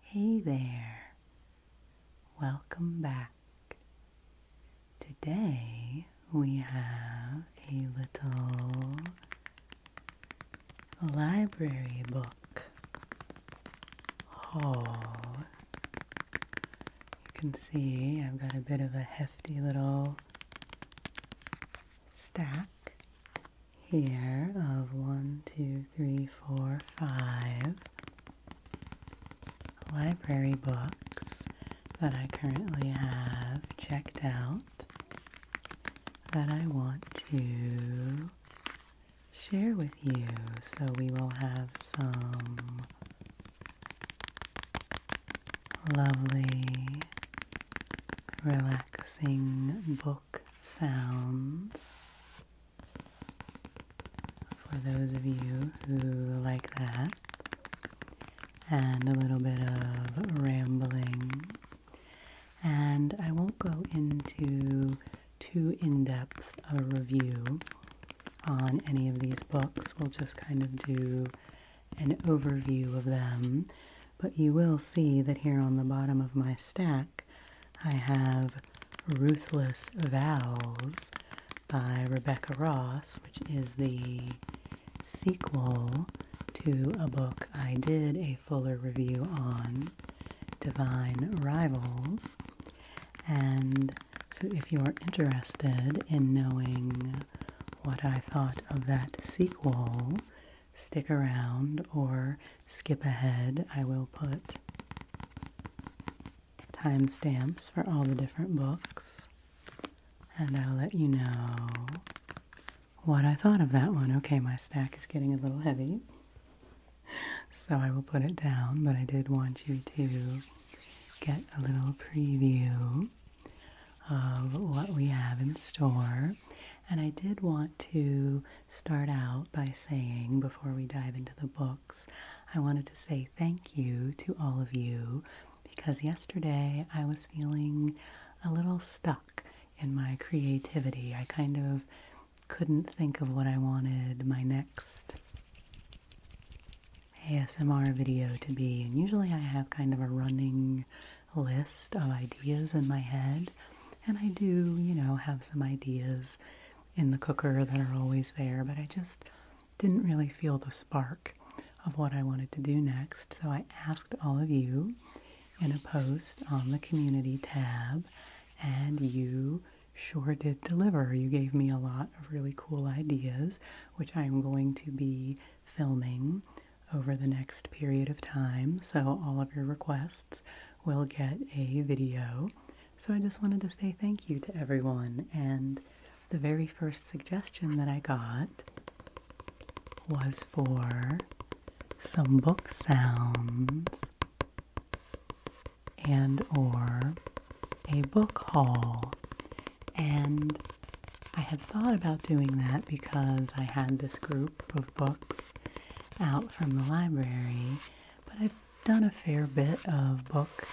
Hey there, welcome back. Today we have a little library book haul. You can see I've got a bit of a hefty little stack here of one, two, three, four, five library books that I currently have checked out that I want to share with you. So we will have some lovely, relaxing book sounds for those of you who like that, and a little bit of rambling. And I won't go into too in depth a review on any of these books. We'll just kind of do an overview of them. But you will see that here on the bottom of my stack, I have Ruthless Vows by Rebecca Ross, which is the sequel to a book I did a fuller review on, Divine Rivals. And so if you're interested in knowing what I thought of that sequel, stick around or skip ahead, I will put timestamps for all the different books and I'll let you know what I thought of that one. Okay, my stack is getting a little heavy, so I will put it down, but I did want you to get a little preview of what we have in store. And I did want to start out by saying, before we dive into the books, I wanted to say thank you to all of you because yesterday I was feeling a little stuck in my creativity. I kind of couldn't think of what I wanted my next ASMR video to be, and usually I have kind of a running list of ideas in my head, and I do, you know, have some ideas in the cooker that are always there, but I just didn't really feel the spark of what I wanted to do next. So I asked all of you in a post on the community tab, and you sure did deliver. You gave me a lot of really cool ideas, which I'm going to be filming over the next period of time. So all of your requests guests will get a video. So I just wanted to say thank you to everyone. And the very first suggestion that I got was for some book sounds and or a book haul. And I had thought about doing that because I had this group of books out from the library, but I've done a fair bit of book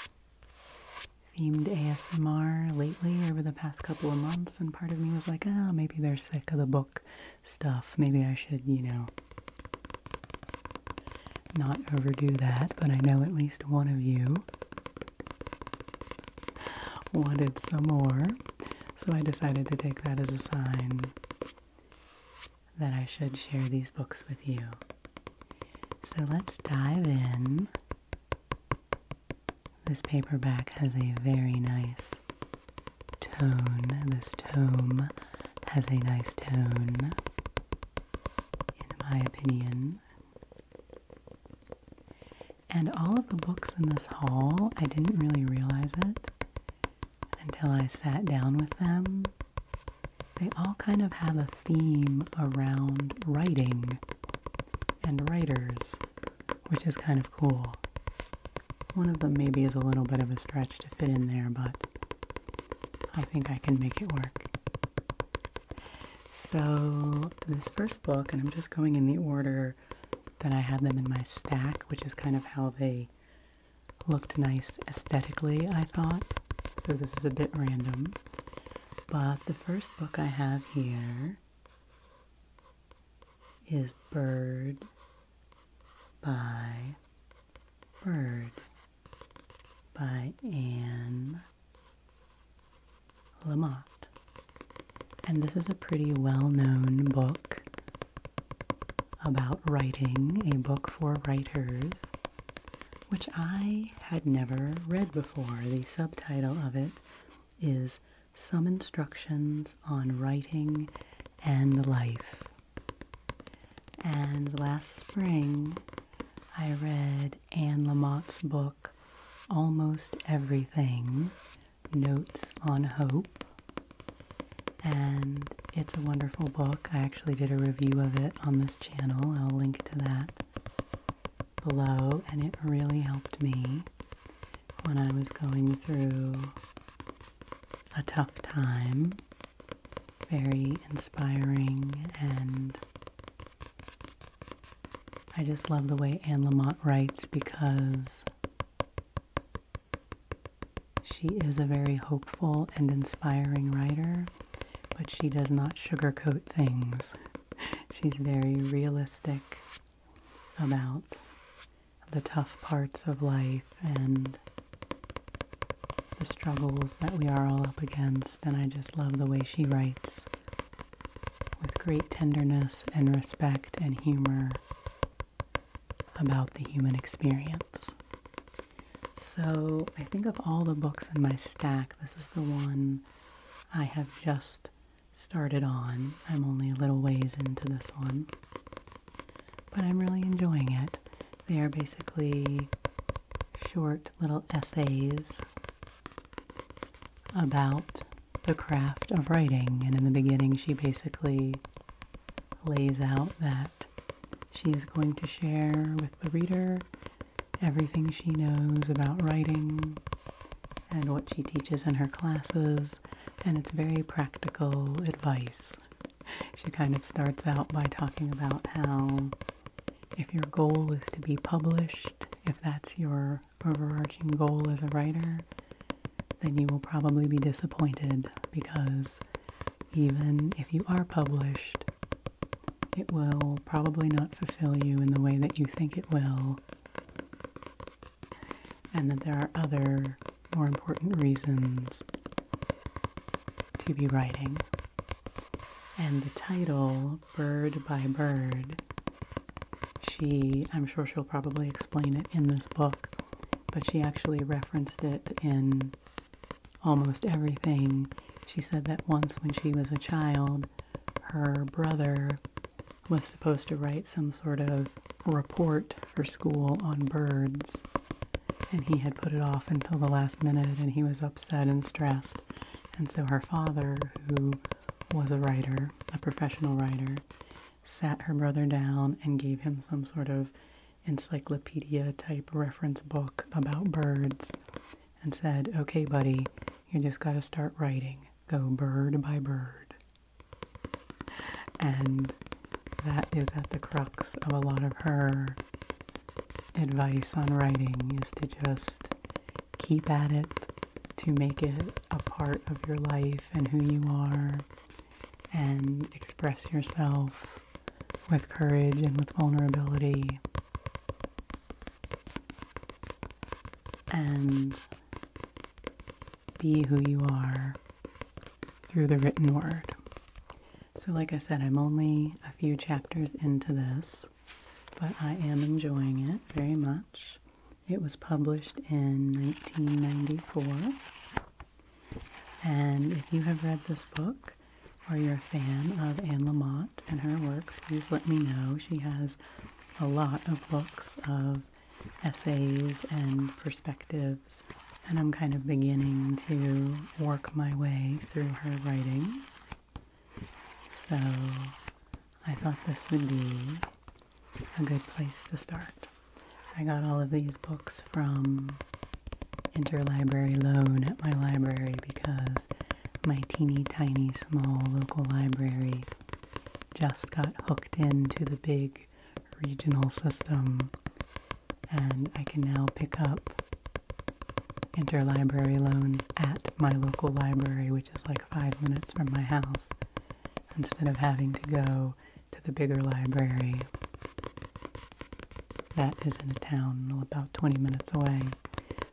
themed ASMR lately over the past couple of months, and part of me was like, oh, maybe they're sick of the book stuff. Maybe I should, you know, not overdo that, but I know at least one of you wanted some more, so I decided to take that as a sign that I should share these books with you. So let's dive in. This paperback has a very nice tone. This tome has a nice tone, in my opinion. And all of the books in this haul, I didn't really realize it, until I sat down with them, they all kind of have a theme around writing and writers, which is kind of cool. One of them maybe is a little bit of a stretch to fit in there, but I think I can make it work. So, this first book, and I'm just going in the order that I had them in my stack, which is kind of how they looked nice aesthetically, I thought. So this is a bit random. But the first book I have here is Bird by Bird by Anne Lamott. And this is a pretty well known book about writing a book for writers, which I had never read before. The subtitle of it is Some Instructions on Writing and Life. And last spring, I read Anne Lamott's book, Almost Everything Notes on Hope and it's a wonderful book. I actually did a review of it on this channel. I'll link to that below, and it really helped me when I was going through a tough time. Very inspiring, and I just love the way Anne Lamott writes because she is a very hopeful and inspiring writer, but she does not sugarcoat things. She's very realistic about the tough parts of life and the struggles that we are all up against, and I just love the way she writes with great tenderness and respect and humor about the human experience. So, I think of all the books in my stack, this is the one I have just started on. I'm only a little ways into this one, but I'm really enjoying it. They are basically short little essays about the craft of writing. And in the beginning, she basically lays out that she is going to share with the reader everything she knows about writing and what she teaches in her classes, and it's very practical advice. She kind of starts out by talking about how if your goal is to be published, if that's your overarching goal as a writer, then you will probably be disappointed because even if you are published, it will probably not fulfill you in the way that you think it will, and that there are other more important reasons to be writing. And the title, Bird by Bird, she, I'm sure she'll probably explain it in this book, but she actually referenced it in almost everything. She said that once when she was a child, her brother was supposed to write some sort of report for school on birds, and he had put it off until the last minute and he was upset and stressed. And so her father, who was a writer, a professional writer, sat her brother down and gave him some sort of encyclopedia type reference book about birds and said, Okay, buddy, you just got to start writing. Go bird by bird. And that is at the crux of a lot of her advice on writing is to just keep at it, to make it a part of your life and who you are and express yourself with courage and with vulnerability. And be who you are through the written word. So, like I said, I'm only a few chapters into this, but I am enjoying it very much. It was published in 1994 and if you have read this book or you're a fan of Anne Lamott and her work, please let me know. She has a lot of books of essays and perspectives, and I'm kind of beginning to work my way through her writing. So I thought this would be a good place to start. I got all of these books from interlibrary loan at my library because my teeny tiny small local library just got hooked into the big regional system and I can now pick up interlibrary loans at my local library which is like five minutes from my house instead of having to go to the bigger library that is in a town about 20 minutes away.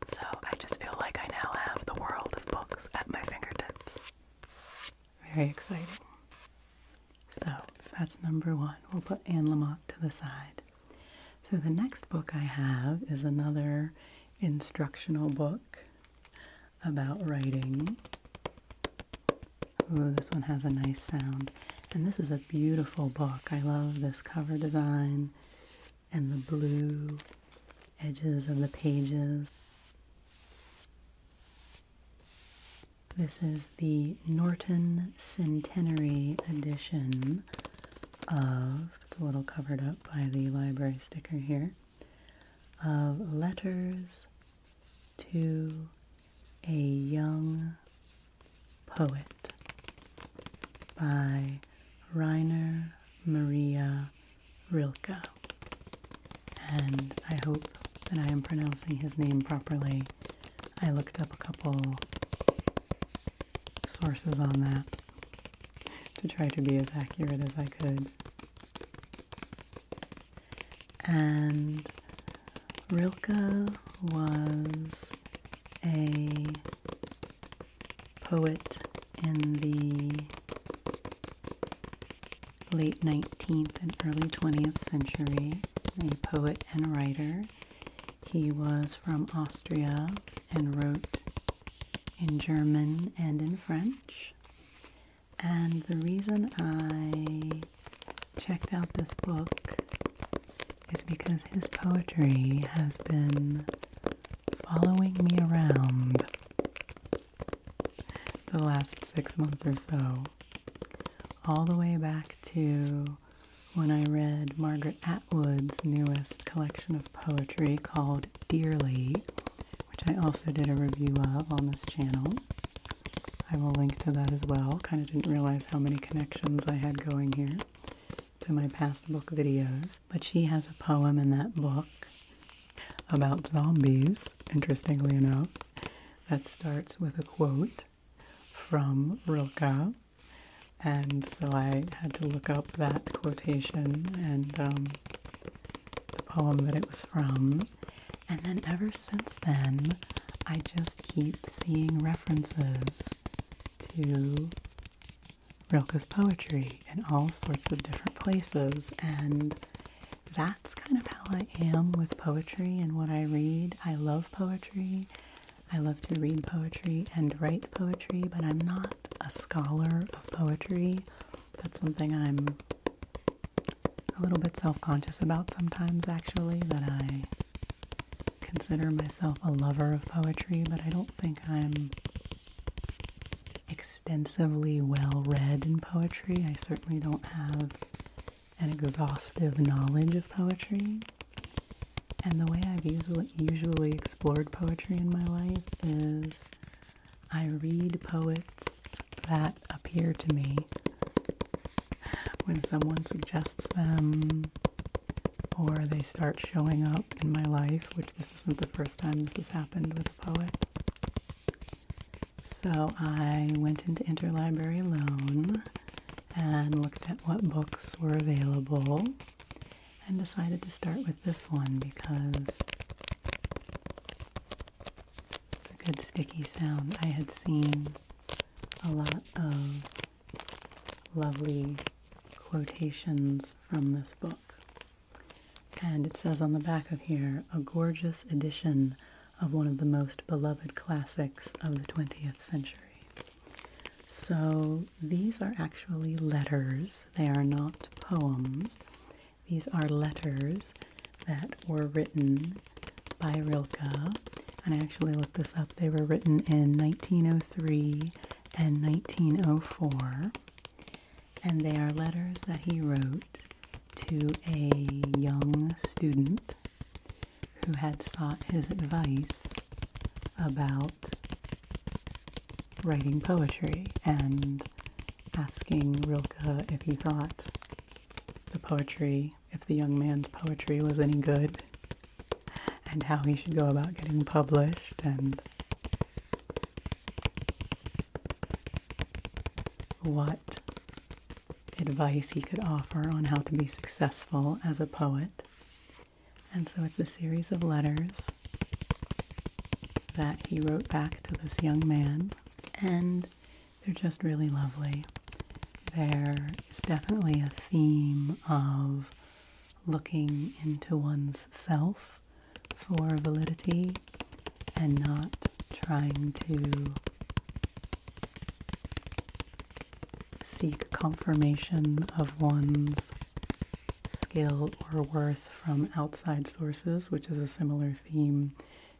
So I just feel like I now have the world of books at my fingertips. Very exciting. So that's number one. We'll put Anne Lamott to the side. So the next book I have is another instructional book about writing. Ooh, this one has a nice sound. And this is a beautiful book. I love this cover design and the blue edges of the pages. This is the Norton Centenary Edition of, it's a little covered up by the library sticker here, of Letters to a Young Poet by Rainer Maria Rilke. And I hope that I am pronouncing his name properly. I looked up a couple sources on that to try to be as accurate as I could and Rilke was a poet in the late 19th and early 20th century, a poet and writer. He was from Austria and wrote in German and in French. And the reason I checked out this book is because his poetry has been following me around the last six months or so, all the way back to when I read Margaret Atwood's newest collection of poetry called Dearly, which I also did a review of on this channel. I will link to that as well. Kind of didn't realize how many connections I had going here to my past book videos. But she has a poem in that book about zombies, interestingly enough, that starts with a quote from Rilke. And so I had to look up that quotation and um, the poem that it was from and then ever since then, I just keep seeing references to Rilke's poetry in all sorts of different places. And that's kind of how I am with poetry and what I read. I love poetry. I love to read poetry and write poetry, but I'm not a scholar of poetry that's something I'm a little bit self conscious about sometimes, actually, that I consider myself a lover of poetry, but I don't think I'm extensively well read in poetry. I certainly don't have an exhaustive knowledge of poetry. And the way I've usually, explored poetry in my life is I read poets that appear to me when someone suggests them or they start showing up in my life, which this isn't the first time this has happened with a poet. So I went into Interlibrary Loan and looked at what books were available and decided to start with this one because it's a good sticky sound. I had seen a lot of lovely quotations from this book. And it says on the back of here, a gorgeous edition of one of the most beloved classics of the 20th century. So these are actually letters, they are not poems. These are letters that were written by Rilke. And I actually looked this up. They were written in 1903 and 1904. And they are letters that he wrote to a young student who had sought his advice about writing poetry and asking Rilke if he thought the poetry, if the young man's poetry was any good, and how he should go about getting published, and what advice he could offer on how to be successful as a poet. And so it's a series of letters that he wrote back to this young man. And they're just really lovely. There is definitely a theme of looking into one's self for validity and not trying to seek confirmation of one's skill or worth from outside sources, which is a similar theme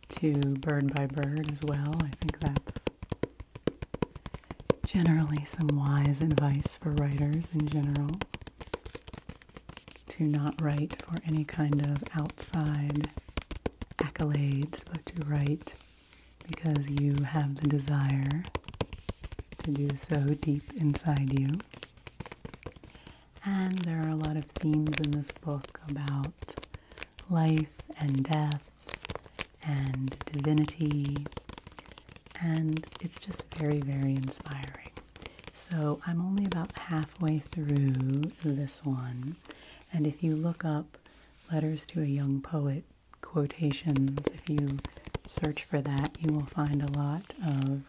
to bird by bird as well. I think that's generally some wise advice for writers in general to not write for any kind of outside accolades, but to write because you have the desire to do so deep inside you. And there are a lot of themes in this book about life and death and divinity. And it's just very, very inspiring. So I'm only about halfway through this one. And if you look up Letters to a Young Poet quotations, if you search for that, you will find a lot of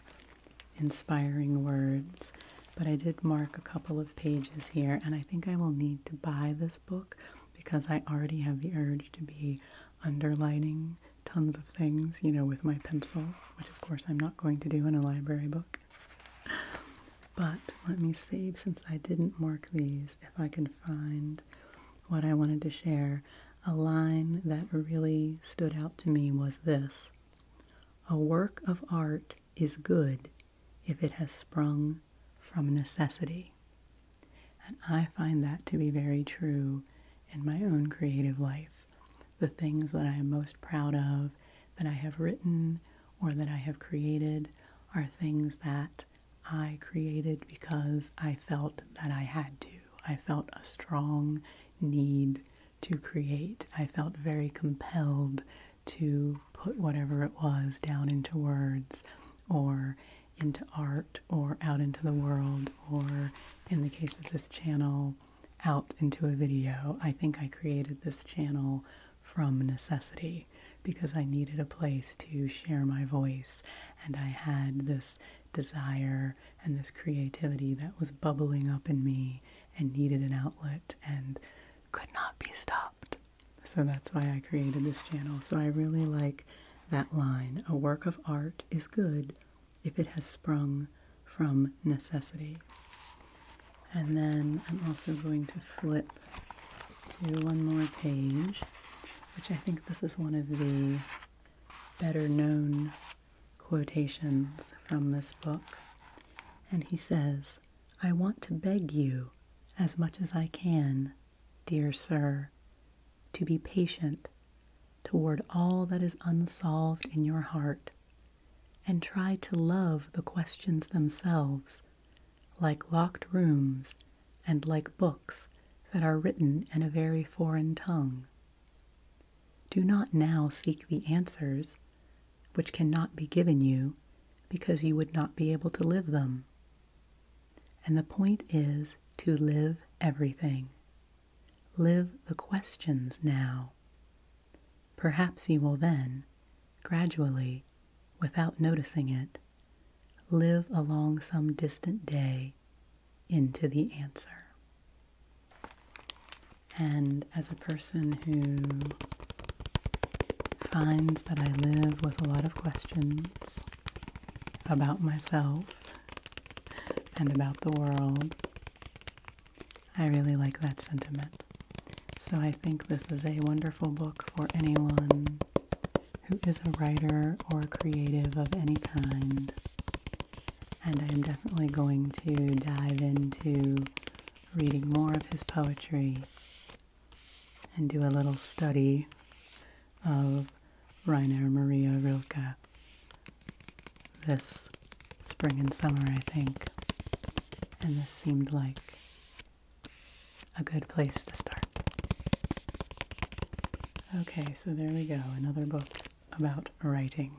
inspiring words. But I did mark a couple of pages here, and I think I will need to buy this book because I already have the urge to be underlining tons of things, you know, with my pencil, which of course I'm not going to do in a library book. But let me see, since I didn't mark these, if I can find what I wanted to share. A line that really stood out to me was this A work of art is good if it has sprung from necessity. And I find that to be very true in my own creative life. The things that I am most proud of, that I have written, or that I have created, are things that I created because I felt that I had to. I felt a strong need to create. I felt very compelled to put whatever it was down into words or into art or out into the world or, in the case of this channel, out into a video. I think I created this channel from necessity because I needed a place to share my voice and I had this desire and this creativity that was bubbling up in me and needed an outlet and could not be stopped. So that's why I created this channel. So I really like that line. A work of art is good if it has sprung from necessity. And then I'm also going to flip to one more page, which I think this is one of the better known quotations from this book. And he says, I want to beg you, as much as I can, dear sir, to be patient toward all that is unsolved in your heart, and try to love the questions themselves, like locked rooms and like books that are written in a very foreign tongue. Do not now seek the answers, which cannot be given you because you would not be able to live them. And the point is to live everything. Live the questions now. Perhaps you will then, gradually, without noticing it, live along some distant day into the answer. And as a person who finds that I live with a lot of questions about myself and about the world, I really like that sentiment. So I think this is a wonderful book for anyone who is a writer or creative of any kind. And I am definitely going to dive into reading more of his poetry and do a little study of Rainer Maria Rilke this spring and summer, I think. And this seemed like a good place to start. Okay, so there we go, another book about writing.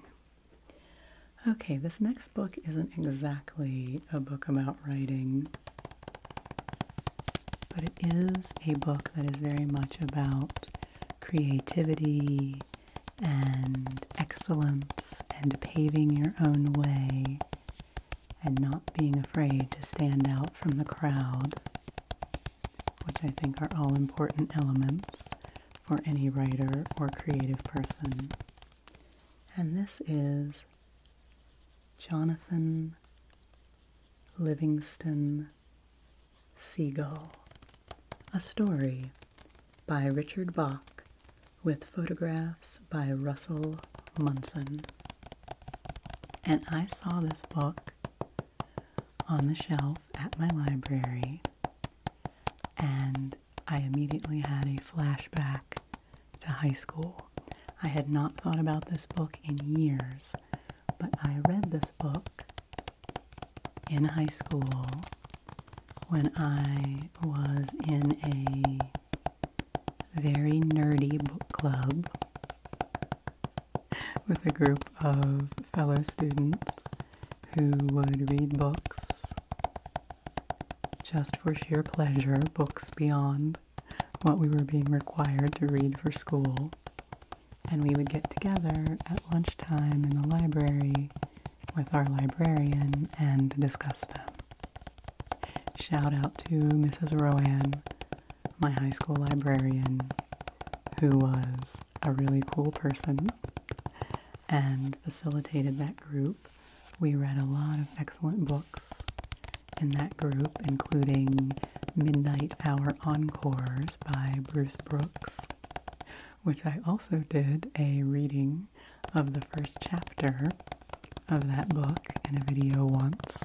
Okay, this next book isn't exactly a book about writing, but it is a book that is very much about creativity and excellence and paving your own way and not being afraid to stand out from the crowd, which I think are all important elements for any writer or creative person. And this is Jonathan Livingston Seagull, a story by Richard Bach with photographs by Russell Munson. And I saw this book on the shelf at my library and I immediately had a flashback to high school. I had not thought about this book in years, but I read this book in high school when I was in a very nerdy book club with a group of fellow students who would read books just for sheer pleasure, books beyond what we were being required to read for school. And we would get together at lunchtime in the library with our librarian and discuss them. Shout out to Mrs. Roan, my high school librarian, who was a really cool person and facilitated that group. We read a lot of excellent books in that group, including Midnight Hour Encores by Bruce Brooks, which I also did a reading of the first chapter of that book in a video once.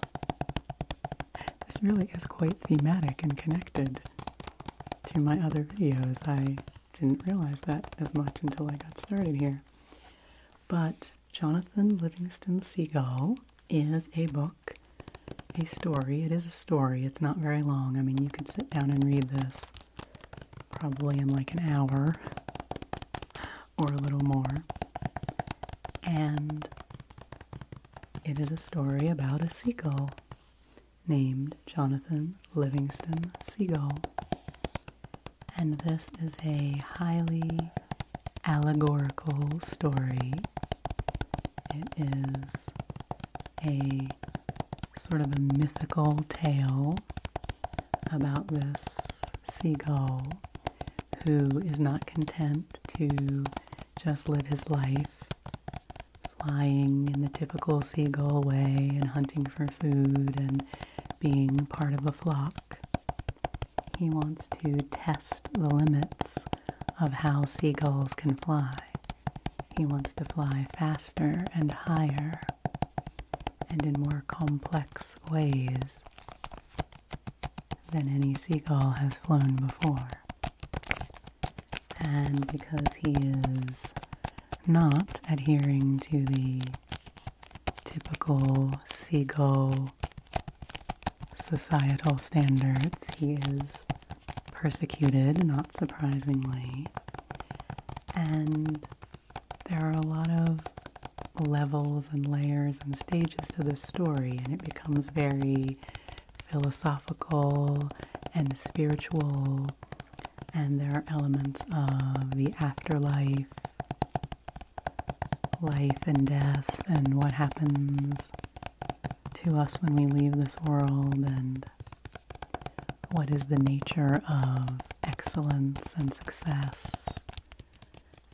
This really is quite thematic and connected to my other videos. I didn't realize that as much until I got started here. But Jonathan Livingston Seagull is a book, a story. It is a story. It's not very long. I mean, you could sit down and read this probably in like an hour or a little more. And it is a story about a seagull named Jonathan Livingston Seagull. And this is a highly allegorical story. It is a sort of a mythical tale about this seagull who is not content to just live his life flying in the typical seagull way and hunting for food and being part of a flock. He wants to test the limits of how seagulls can fly. He wants to fly faster and higher and in more complex ways than any seagull has flown before. And because he is not adhering to the typical seagull societal standards. He is persecuted, not surprisingly. And there are a lot of levels and layers and stages to the story, and it becomes very philosophical and spiritual and there are elements of the afterlife, life and death, and what happens to us when we leave this world, and what is the nature of excellence and success,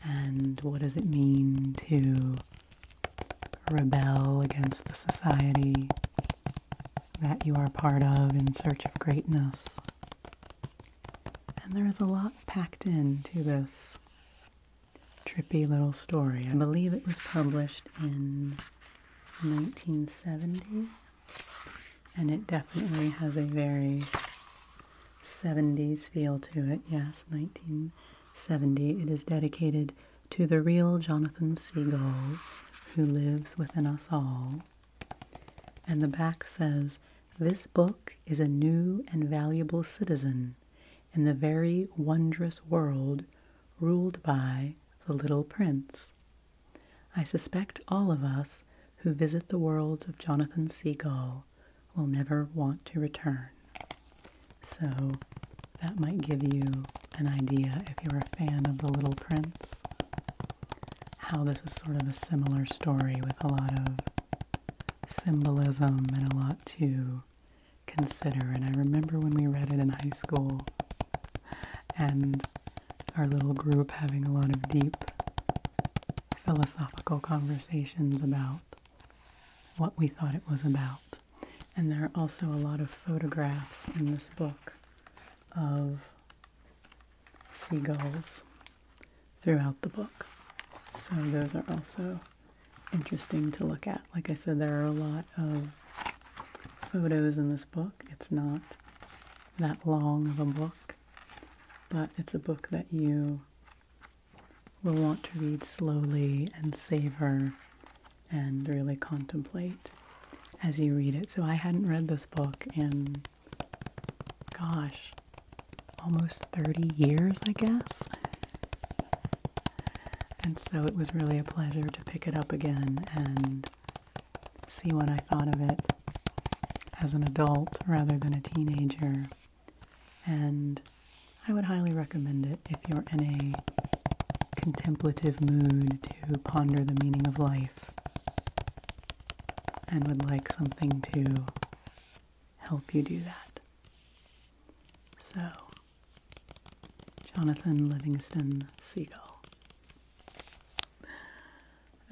and what does it mean to rebel against the society that you are part of in search of greatness. And there is a lot packed in to this trippy little story. I believe it was published in 1970, and it definitely has a very 70s feel to it. Yes, 1970. It is dedicated to the real Jonathan Seagull who lives within us all. And the back says, This book is a new and valuable citizen in the very wondrous world ruled by the little prince. I suspect all of us who visit the worlds of Jonathan Seagull will never want to return. So that might give you an idea if you're a fan of The Little Prince how this is sort of a similar story with a lot of symbolism and a lot to consider. And I remember when we read it in high school and our little group having a lot of deep philosophical conversations about what we thought it was about. And there are also a lot of photographs in this book of seagulls throughout the book. So those are also interesting to look at. Like I said, there are a lot of photos in this book. It's not that long of a book, but it's a book that you will want to read slowly and savor and really contemplate as you read it. So I hadn't read this book in, gosh, almost 30 years, I guess. And so it was really a pleasure to pick it up again and see what I thought of it as an adult rather than a teenager. And I would highly recommend it if you're in a contemplative mood to ponder the meaning of life and would like something to help you do that. So, Jonathan Livingston Seagull.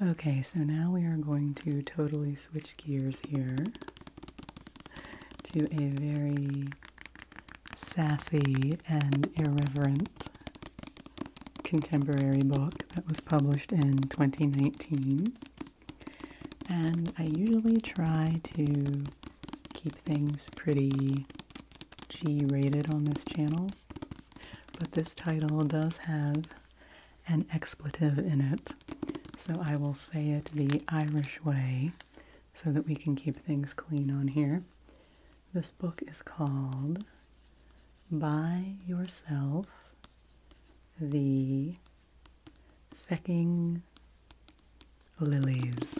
Okay, so now we are going to totally switch gears here to a very sassy and irreverent contemporary book that was published in 2019. And I usually try to keep things pretty G rated on this channel, but this title does have an expletive in it, so I will say it the Irish way so that we can keep things clean on here. This book is called by yourself the Fecking Lilies.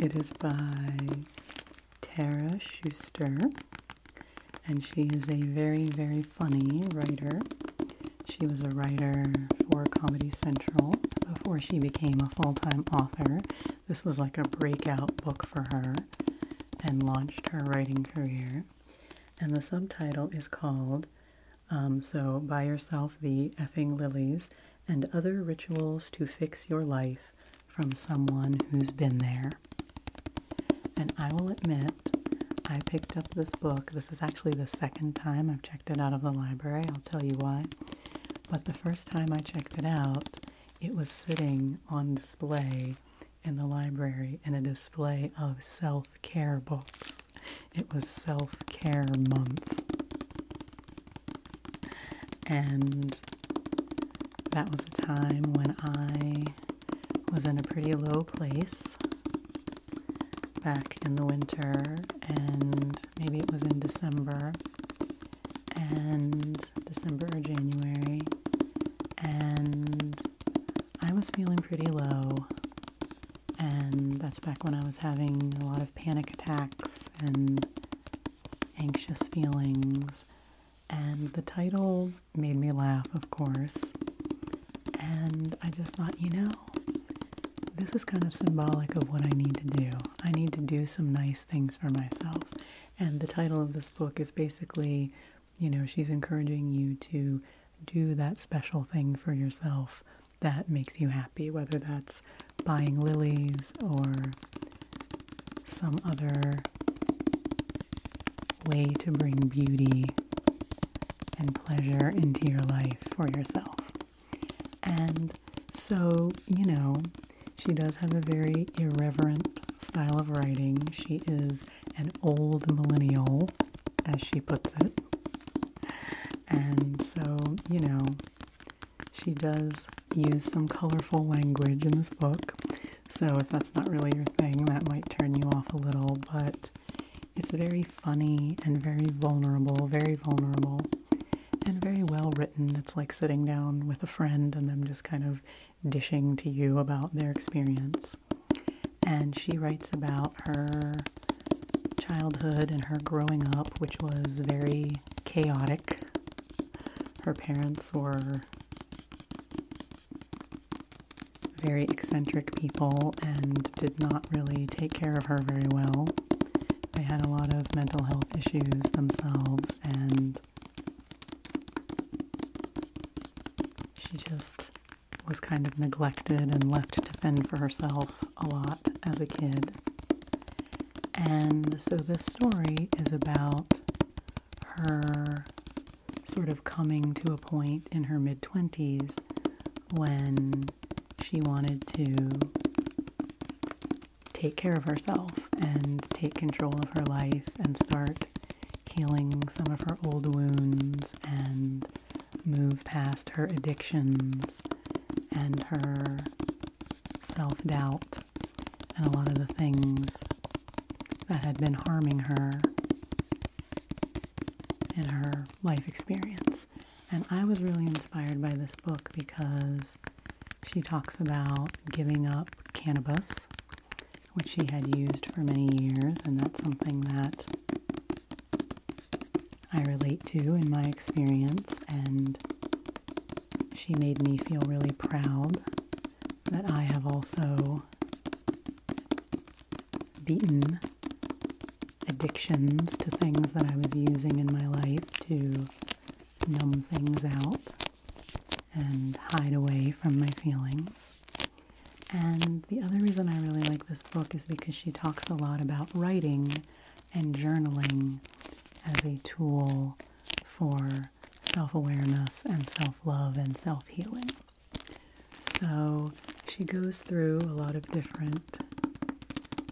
It is by Tara Schuster, and she is a very, very funny writer. She was a writer for Comedy Central before she became a full time author, this was like a breakout book for her and launched her writing career. And the subtitle is called um, So by Yourself the Effing Lilies and Other Rituals to Fix Your Life from Someone Who's Been There. And I will admit, I picked up this book. This is actually the second time I've checked it out of the library. I'll tell you why. But the first time I checked it out, it was sitting on display in the library in a display of self care books. It was self care month. And that was a time when I was in a pretty low place back in the winter, and maybe it was in December and December or January, and I was feeling pretty low. And that's back when I was having a lot of panic attacks and anxious feelings. And the title made me laugh, of course. And I just thought, you know, this is kind of symbolic of what I need to do. I need to do some nice things for myself. And the title of this book is basically, you know, she's encouraging you to do that special thing for yourself that makes you happy, whether that's buying lilies or some other way to bring beauty and pleasure into your life for yourself. And so you know she does have a very irreverent style of writing she is an old millennial as she puts it and so you know she does use some colorful language in this book so if that's not really your thing that might turn you off a little but it's very funny and very vulnerable very vulnerable and very well written written. It's like sitting down with a friend and them just kind of dishing to you about their experience. And she writes about her childhood and her growing up, which was very chaotic. Her parents were very eccentric people and did not really take care of her very well. They had a lot of mental health issues themselves, and she just was kind of neglected and left to fend for herself a lot as a kid. And so this story is about her sort of coming to a point in her mid 20s when she wanted to take care of herself and take control of her life and start healing some of her old wounds and move past her addictions and her self doubt and a lot of the things that had been harming her in her life experience. And I was really inspired by this book because she talks about giving up cannabis, which she had used for many years, and that's something that I relate to in my experience. And she made me feel really proud that I have also beaten addictions to things that I was using in my life to numb things out and hide away from my feelings. And the other reason I really like this book is because she talks a lot about writing and journaling as a tool for self awareness and self love and self healing. So she goes through a lot of different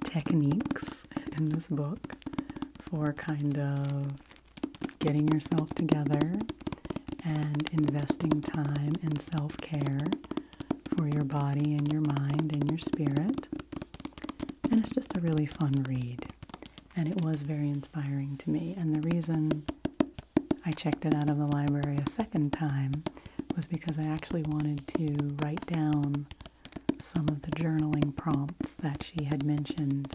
techniques in this book for kind of getting yourself together and investing time in self-care for your body and your mind and your spirit. And it's just a really fun read. And it was very inspiring to me. And the reason I checked it out of the library a second time was because I actually wanted to write down some of the journaling prompts that she had mentioned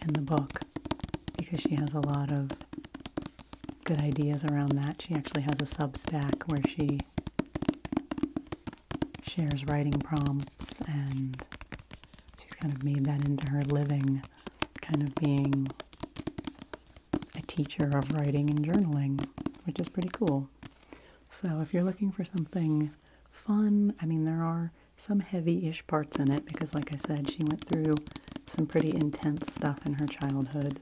in the book because she has a lot of good ideas around that. She actually has a Substack where she shares writing prompts and she's kind of made that into her living, kind of being a teacher of writing and journaling, which is pretty cool. So if you're looking for something fun. I mean, there are some heavy ish parts in it because, like I said, she went through some pretty intense stuff in her childhood.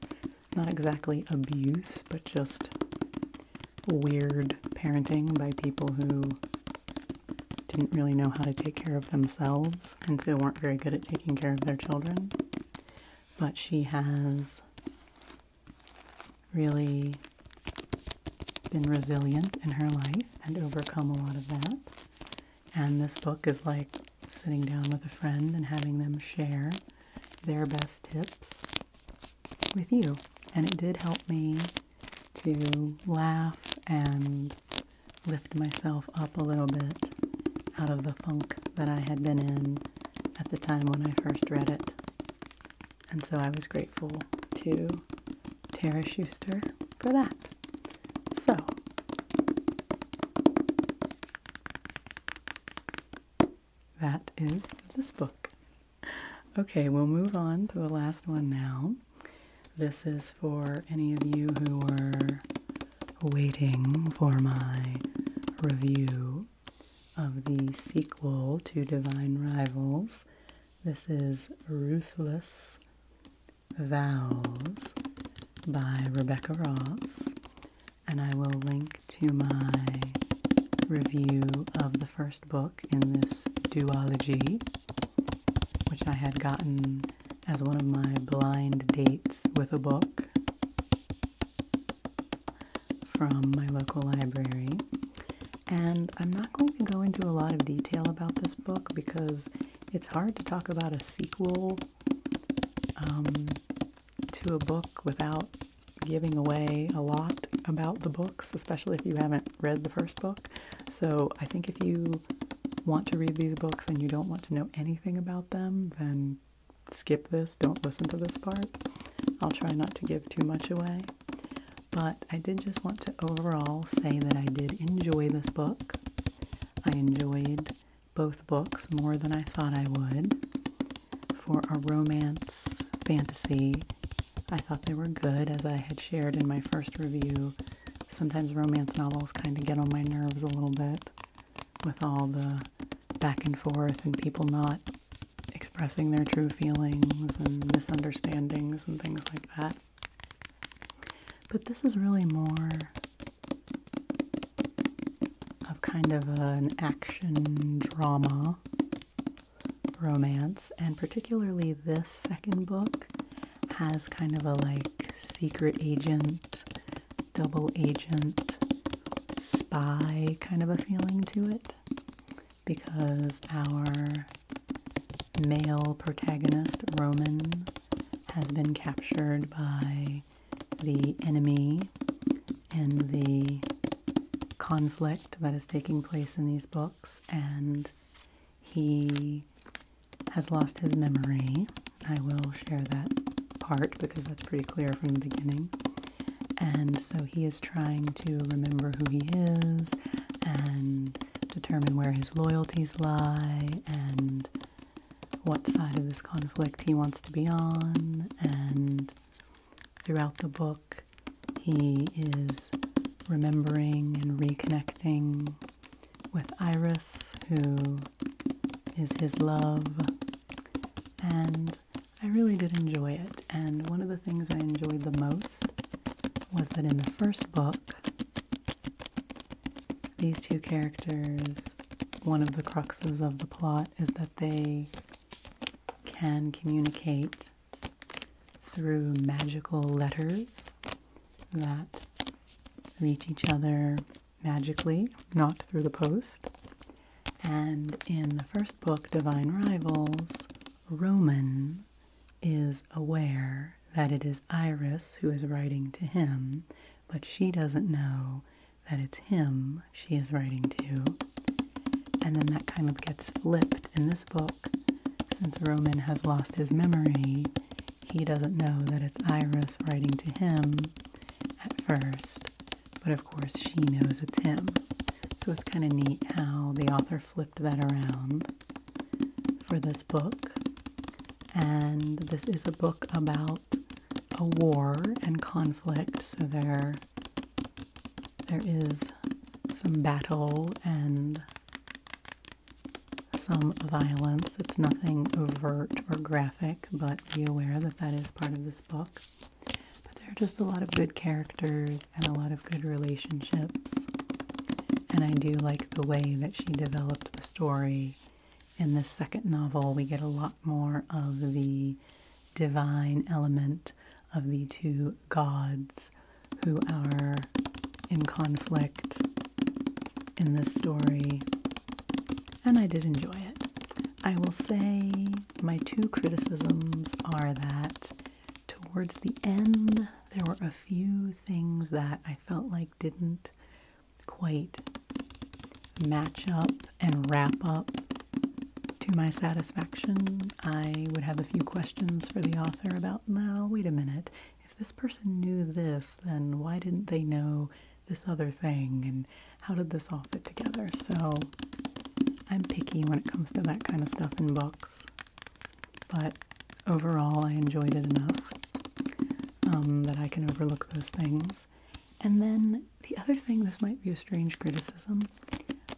Not exactly abuse, but just weird parenting by people who didn't really know how to take care of themselves and so weren't very good at taking care of their children. But she has really been resilient in her life and overcome a lot of that. And this book is like sitting down with a friend and having them share their best tips with you. And it did help me to laugh and lift myself up a little bit out of the funk that I had been in at the time when I first read it. And so I was grateful to Tara Schuster for that. So, that is this book. Okay, we'll move on to the last one now. This is for any of you who were waiting for my review of the sequel to Divine Rivals this is Ruthless Vows by Rebecca Ross, and I will link to my review of the first book in this duology, which I had gotten as one of my blind dates with a book from my local library. And I'm not going to go into a lot of detail about this book because it's hard to talk about a sequel um, to a book without giving away a lot about the books, especially if you haven't read the first book. So I think if you want to read these books and you don't want to know anything about them, then skip this, don't listen to this part. I'll try not to give too much away. But I did just want to overall say that I did enjoy this book. I enjoyed both books more than I thought I would. For a romance fantasy, I thought they were good, as I had shared in my first review. Sometimes romance novels kind of get on my nerves a little bit with all the back and forth and people not expressing their true feelings and misunderstandings and things like that. But this is really more of kind of an action drama romance, and particularly this second book has kind of a like secret agent, double agent, spy kind of a feeling to it because our male protagonist, Roman, has been captured by the enemy and the conflict that is taking place in these books, and he has lost his memory. I will share that part because that's pretty clear from the beginning. And so he is trying to remember who he is and determine where his loyalties lie and what side of this conflict he wants to be on. And throughout the book, he is remembering and reconnecting with Iris, who is his love. And I really did enjoy it, and one of the things I enjoyed the most was that in the first book, these two characters, one of the cruxes of the plot is that they can communicate through magical letters that reach each other magically, not through the post. And in the first book, Divine Rivals, Roman is aware that it is Iris who is writing to him, but she doesn't know that it's him she is writing to. And then that kind of gets flipped in this book. Since Roman has lost his memory, he doesn't know that it's Iris writing to him at first, but of course she knows it's him. So it's kind of neat how the author flipped that around for this book. And this is a book about a war and conflict, so there there is some battle and some violence. It's nothing overt or graphic, but be aware that that is part of this book. But there are just a lot of good characters and a lot of good relationships. And I do like the way that she developed the story. In this second novel, we get a lot more of the divine element of the two gods who are in conflict in this story. And I did enjoy it. I will say my two criticisms are that towards the end, there were a few things that I felt like didn't quite match up and wrap up to my satisfaction. I would have a few questions for the author about, now, wait a minute, if this person knew this, then why didn't they know this other thing? And how did this all fit together? So I'm picky when it comes to that kind of stuff in books, but overall I enjoyed it enough um, that I can overlook those things. And then the other thing, this might be a strange criticism,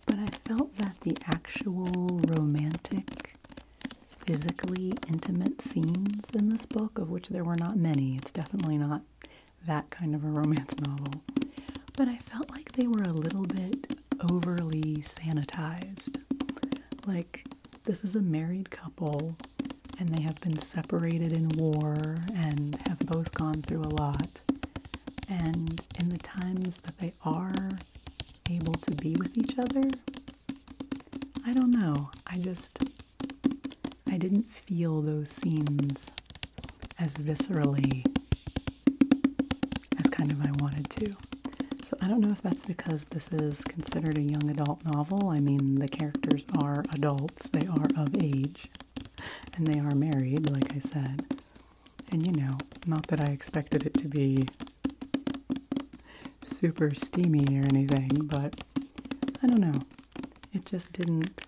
but I felt that the actual romantic, physically intimate scenes in this book, of which there were not many, it's definitely not that kind of a romance novel, but I felt like they were a little bit overly sanitized. Like, this is a married couple, and they have been separated in war and have both gone through a lot. And in the times that they are able to be with each other, I don't know. I just, I didn't feel those scenes as viscerally as kind of I wanted to. So I don't know if that's because this is considered a young adult novel. I mean, the characters are adults, they are of age, and they are married, like I said. And you know, not that I expected it to be super steamy or anything, but I don't know. It just didn't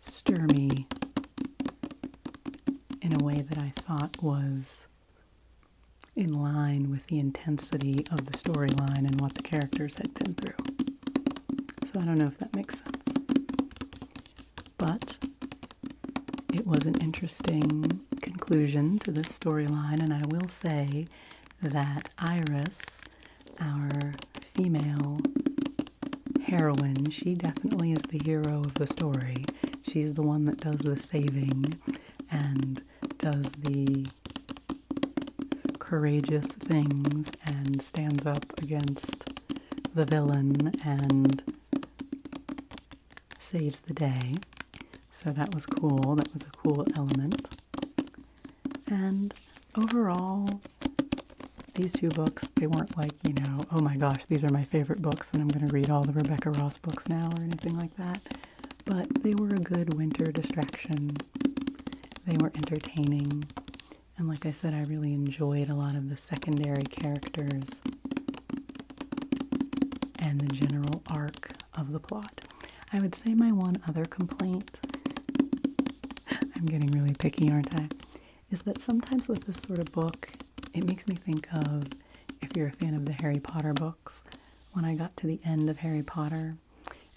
stir me in a way that I thought was in line with the intensity of the storyline and what the characters had been through. So I don't know if that makes sense. But it was an interesting conclusion to this storyline, and I will say that Iris, our female heroine. She definitely is the hero of the story. She's the one that does the saving and does the courageous things and stands up against the villain and saves the day. So that was cool. That was a cool element. And overall, these two books, they weren't like, you know, oh my gosh, these are my favorite books and I'm going to read all the Rebecca Ross books now or anything like that. But they were a good winter distraction. They were entertaining. And like I said, I really enjoyed a lot of the secondary characters and the general arc of the plot. I would say my one other complaint, I'm getting really picky, aren't I? is that sometimes with this sort of book, it makes me think of if you're a fan of the Harry Potter books, when I got to the end of Harry Potter,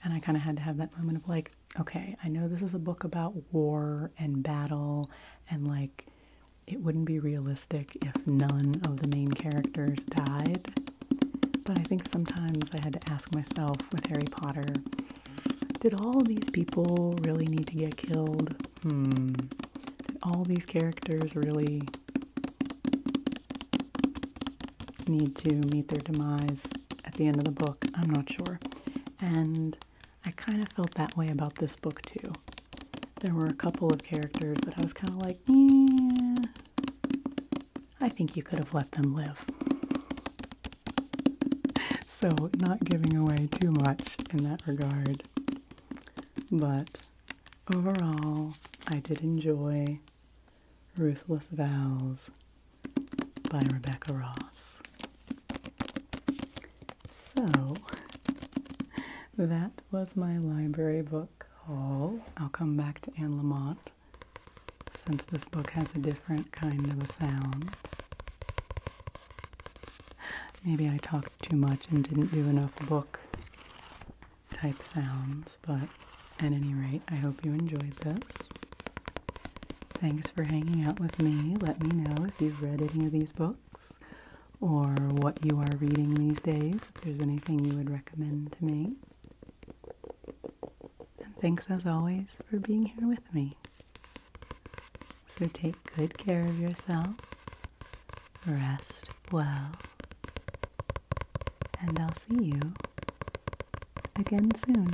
and I kind of had to have that moment of like, okay, I know this is a book about war and battle, and like, it wouldn't be realistic if none of the main characters died. But I think sometimes I had to ask myself with Harry Potter, did all these people really need to get killed? Hmm. All these characters really need to meet their demise at the end of the book. I'm not sure. And I kind of felt that way about this book too. There were a couple of characters that I was kind of like, yeah, I think you could have let them live so not giving away too much in that regard. But overall, I did enjoy Ruthless Vows by Rebecca Ross. So that was my library book haul. I'll come back to Anne Lamott since this book has a different kind of a sound. Maybe I talked too much and didn't do enough book type sounds, but at any rate, I hope you enjoyed this. Thanks for hanging out with me. Let me know if you've read any of these books or what you are reading these days, if there's anything you would recommend to me. And thanks as always for being here with me. So take good care of yourself, rest well, and I'll see you again soon.